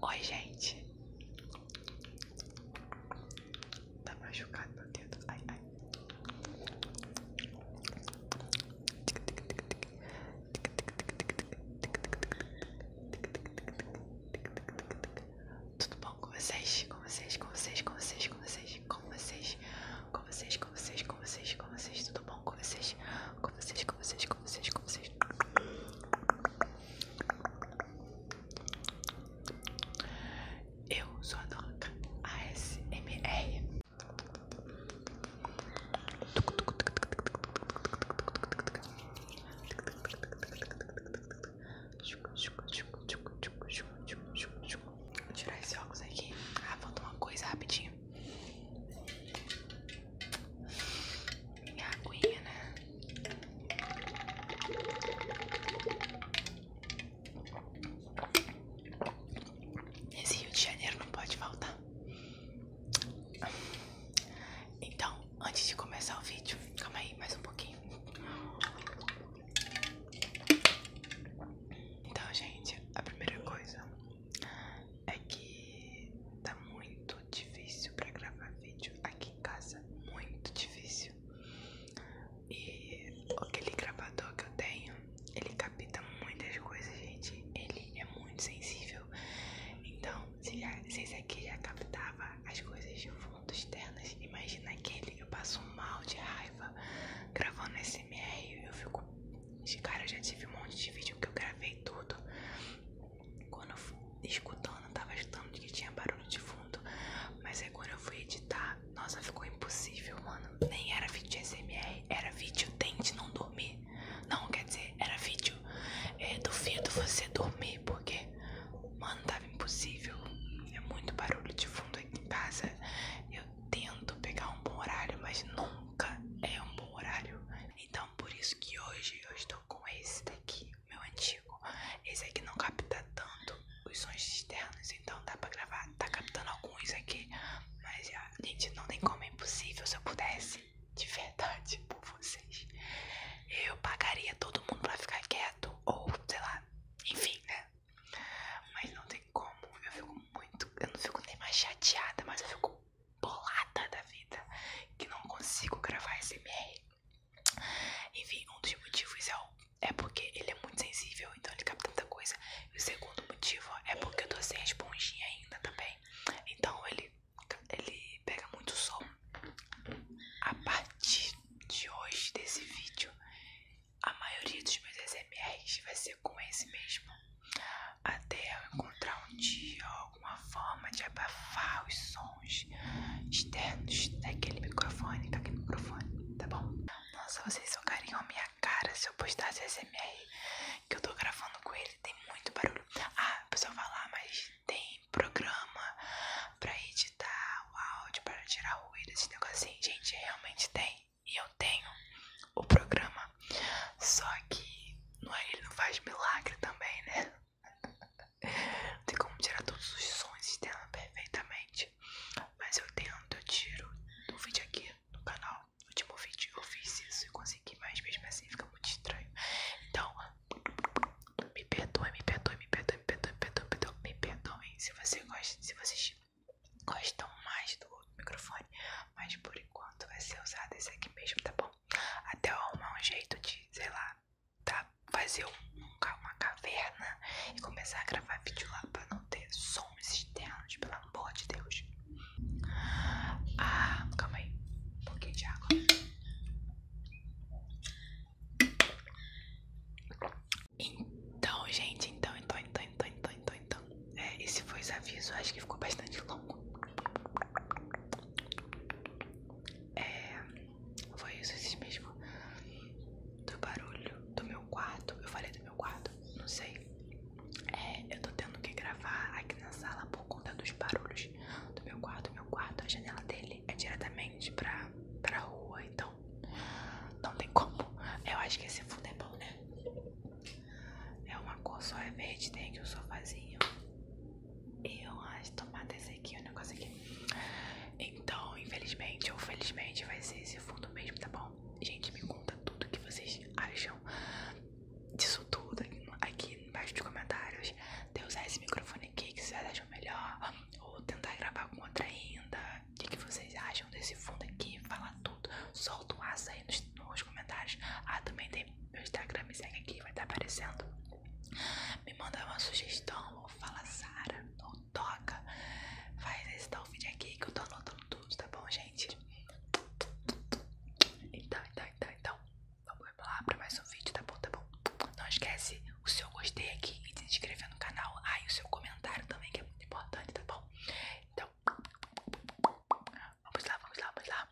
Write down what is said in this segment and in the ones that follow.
Oi, gente. Tá machucado meu dedo. Ai, ai. Tudo bom com vocês? Com vocês, com vocês, com vocês, com vocês, com vocês, com vocês, com vocês, com vocês, com vocês, tudo bom com vocês, com vocês, com vocês, com vocês, com vocês. Eu sou a Doca ASMR. Vou tirar esse óculos aqui. Ah, falta uma coisa rapidinho. Minha aguinha, né? esse Rio de Janeiro não pode faltar. Então, antes de começar o vídeo, calma aí, mais um pouquinho. Então, gente, a primeira coisa é que tá muito difícil pra gravar vídeo aqui em casa, muito difícil. E aquele gravador que eu tenho, ele capta muitas coisas, gente. Ele é muito sensível. Então, se, já, se aqui já captava as coisas de fundo externas, imagina aquele. Eu passo mal de raiva gravando esse ASMR eu fico. Cara, já tive um monte de vídeo que eu gravei tudo. Quando eu fui escutando, eu tava achando que tinha barulho de fundo. Mas aí quando eu fui editar, nossa, ficou impossível, mano. Nem era vídeo de ASMR, era vídeo tente não dormir. Não, quer dizer, era vídeo. É, duvido você dormir, porque, mano, tava impossível. É muito barulho de fundo aqui em casa. Eu tento pegar um bom horário, mas nunca é um bom horário. Então por isso que hoje eu estou com esse daqui, meu antigo. Esse aqui não capta tanto os sons externos, então dá pra gravar. Tá captando alguns aqui, mas já, gente, não tem como é impossível. Se eu pudesse, de verdade, por vocês, eu pagaria todo mundo pra ficar quieto ou sei lá, enfim, né? Mas não tem como, eu fico muito. Eu não fico nem mais chateada, mas eu fico bolada da vida que não consigo gravar SMR. Enfim, um dos motivos é, o, é porque ele é muito sensível, então ele capta tanta coisa. E o segundo motivo é porque eu tô sem a esponjinha ainda também. Então ele, ele pega muito som. A partir de hoje desse vídeo, a maioria dos meus SMRs vai ser com esse mesmo até eu encontrar um dia alguma forma de abafar os sons externos daquele microfone, daquele microfone, tá bom? Nossa, vocês socariam a minha cara se eu postasse SMR que eu tô gravando com ele, tem muito barulho. Ah, pessoal falar, mas tem programa pra editar o áudio, para tirar ruído, esse negocinho, gente, realmente tem. E eu tenho o programa. Só que não é, ele não faz milagre também, né? Não tem como tirar todos os sons externos perfeitamente. Mas eu tento, eu tiro no vídeo aqui no canal. No último vídeo eu fiz isso e consegui, mas mesmo assim fica muito estranho. Então, me perdoem me perdoem me perdoem me perdoem me perdoem me perdoe. se, vocês gostam mais do microfone, mas por enquanto vai ser usado esse aqui mesmo, tá bom? Até eu arrumar um jeito de, sei lá, tá? fazer um, uma caverna e começar a gravar vídeo lá pra não ter sons externos, pelo amor de Deus. Ah, calma aí, um pouquinho de água. Então, gente, então, então, então, então, então, então, é, esse foi o aviso, acho que ficou bastante longo. É, foi isso, mesmo do barulho do meu quarto. Eu falei do meu quarto, não sei. É, eu tô tendo que gravar aqui na sala por conta dos barulhos do meu quarto. Meu quarto, a janela dele é diretamente pra, pra rua, então não tem como. Eu acho que esse fundo é bom, né? É uma cor só, é verde, tem aqui o um sofazinho. Eu acho tomada esse aqui, o um negócio aqui. Então, infelizmente ou felizmente, vai ser esse fundo mesmo, tá bom? Gente, me conta tudo que vocês acham disso tudo aqui, aqui embaixo dos comentários. De usar esse microfone aqui, que vocês acham melhor. Ou tentar gravar com outra ainda. O que, que vocês acham desse fundo aqui? Fala tudo tudo. Solta um aço aí nos, comentários. Ah, também tem meu Instagram, me segue aqui, vai estar tá aparecendo. Me manda uma sugestão, ou fala Sara, ou toca. Faz esse tal vídeo aqui que eu tô anotando tudo, tá bom, gente? Então, então, então, então. Vamos lá pra mais um vídeo, tá bom, tá bom? Não esquece o seu gostei aqui e se inscrever no canal. Ah, e o seu comentário também, que é muito importante, tá bom? Então, Vamos lá, vamos lá, vamos lá.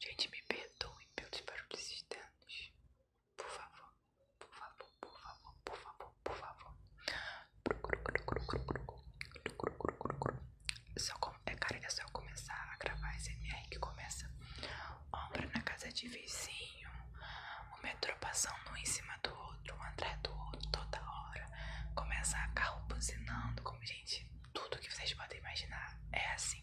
Gente, me perdoem pelos barulhos externos. Por favor, por favor, por favor, por favor por favor. Se é cara que se começar a gravar esse MR que começa ombra na casa de vizinho, o metrô passando um em cima do outro, um atrás do outro, toda hora. Começa a carro buzinando, como gente, tudo que vocês podem imaginar é assim.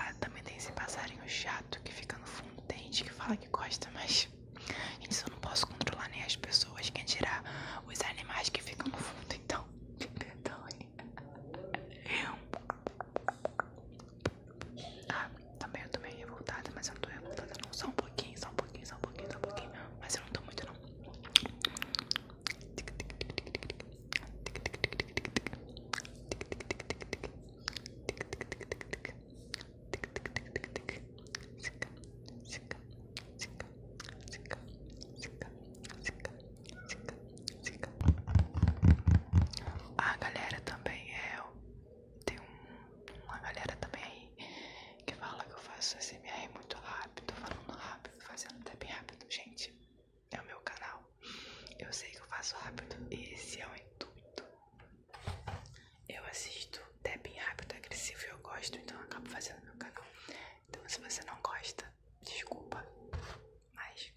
Ah, também tem esse passarinho chato que fica no fundo, tem gente que fala que gosta, mas gente, eu não posso controlar nem as pessoas, quem dirá os animais que ficam no fundo, então me perdoe. Ah, também eu tô meio revoltada, mas eu não tô revoltada não. Só um pouquinho, só um pouquinho, só um pouquinho, só um pouquinho. Mas eu não tô muito não. Sica, a galera também é. Tem uma galera também aí que fala que eu faço SMR muito rápido, falando rápido, fazendo até bem rápido. Gente, é o meu canal. Eu sei que eu faço rápido. Esse é o intuito. Eu assisto até bem rápido, agressivo e eu gosto, então eu acabo fazendo no meu canal. Então se você não gosta, desculpa, mas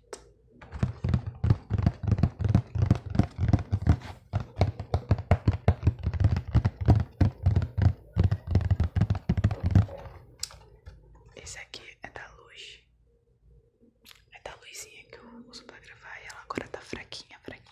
esse aqui é da luz, é da luzinha que eu uso para gravar e ela agora tá fraquinha, fraquinha.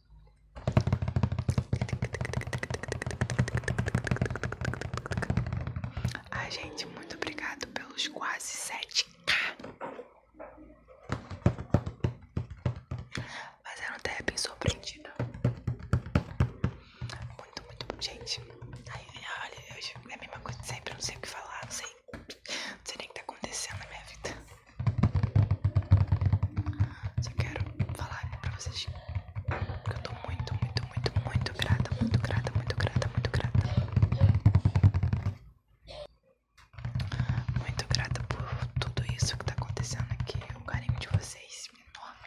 Ai, gente, muito obrigado pelos quase 7k. Mas eu não até bem surpreendida. Muito, muito bom, gente. Ai, olha, hoje é a mesma coisa de sempre. Eu não sei o que falar, não sei, não sei nem o que tá acontecendo na minha vida. Só quero falar pra vocês que eu tô muito, muito, muito, muito grata, muito grata, muito grata, muito grata. Muito grata por tudo isso que tá acontecendo aqui. O carinho de vocês é enorme.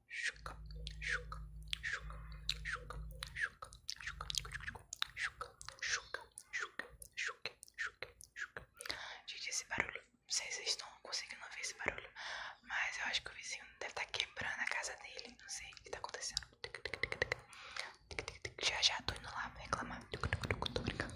Gente, esse barulho, não sei se vocês estão conseguindo ver esse barulho, mas eu acho que o vizinho deve estar quebrando a casa dele, não sei o que tá acontecendo. Já já tô indo lá reclamar. Tô brincando.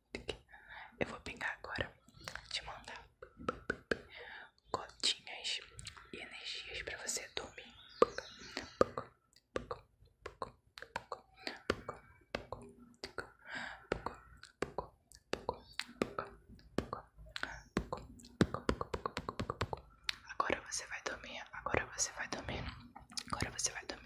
Eu vou pegar agora, te mandar gotinhas e energias para você dormir. Agora você vai dormir, agora você vai dormir, agora você vai dormir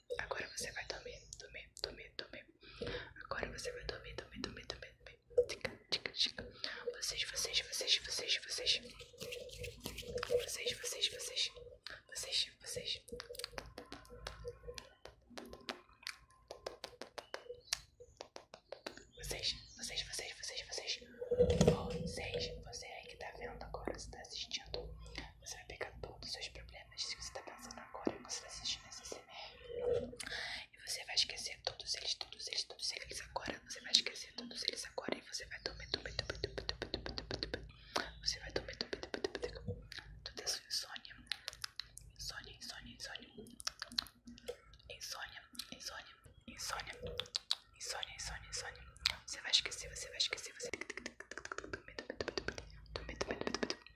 Agora você vai dormir, dormir, dormir, dormir. Agora você vai dormir, dormir, dormir, dormir, dormir. Tica, tica, tica. Vocês, vocês, vocês, vocês, vocês. Vocês, vocês, vocês. Vocês, vocês. Vocês, vocês, vocês, vocês, vocês. Vocês, você aí que tá vendo agora, você tá assistindo. Você vai pegar todos os seus problemas. Se você tá pensando agora, você tá assistindo esse e você vai esquecer todos eles, todos eles, todos eles agora. Você vai esquecer todos eles agora e você vai dormir, dormir, dormir, dormir, dormir, dormir, dormir. Você vai dormir, dormir, dormir, dormir. Toda a sua insônia. Insônia, insônia, insônia. Insônia, insônia, insônia. Insônia, insônia, insônia. Você vai esquecer, você vai esquecer, você... Dormir, dormir, dormir, dormir. Dormir, dormir, dormir, dormir.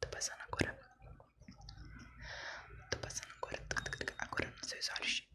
Tô passando agora. Tô passando agora. Agora nos seus olhos.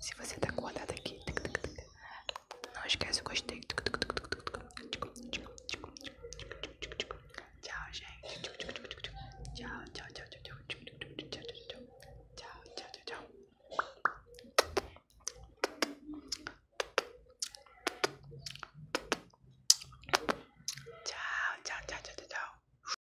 Se você tá acordado aqui, não esquece o gostei. Tchau, gente. Tchau, tchau, tchau, tchau, tchau, tchau, tchau, tchau, tchau, tchau. Tchau, tchau, tchau, tchau, tchau.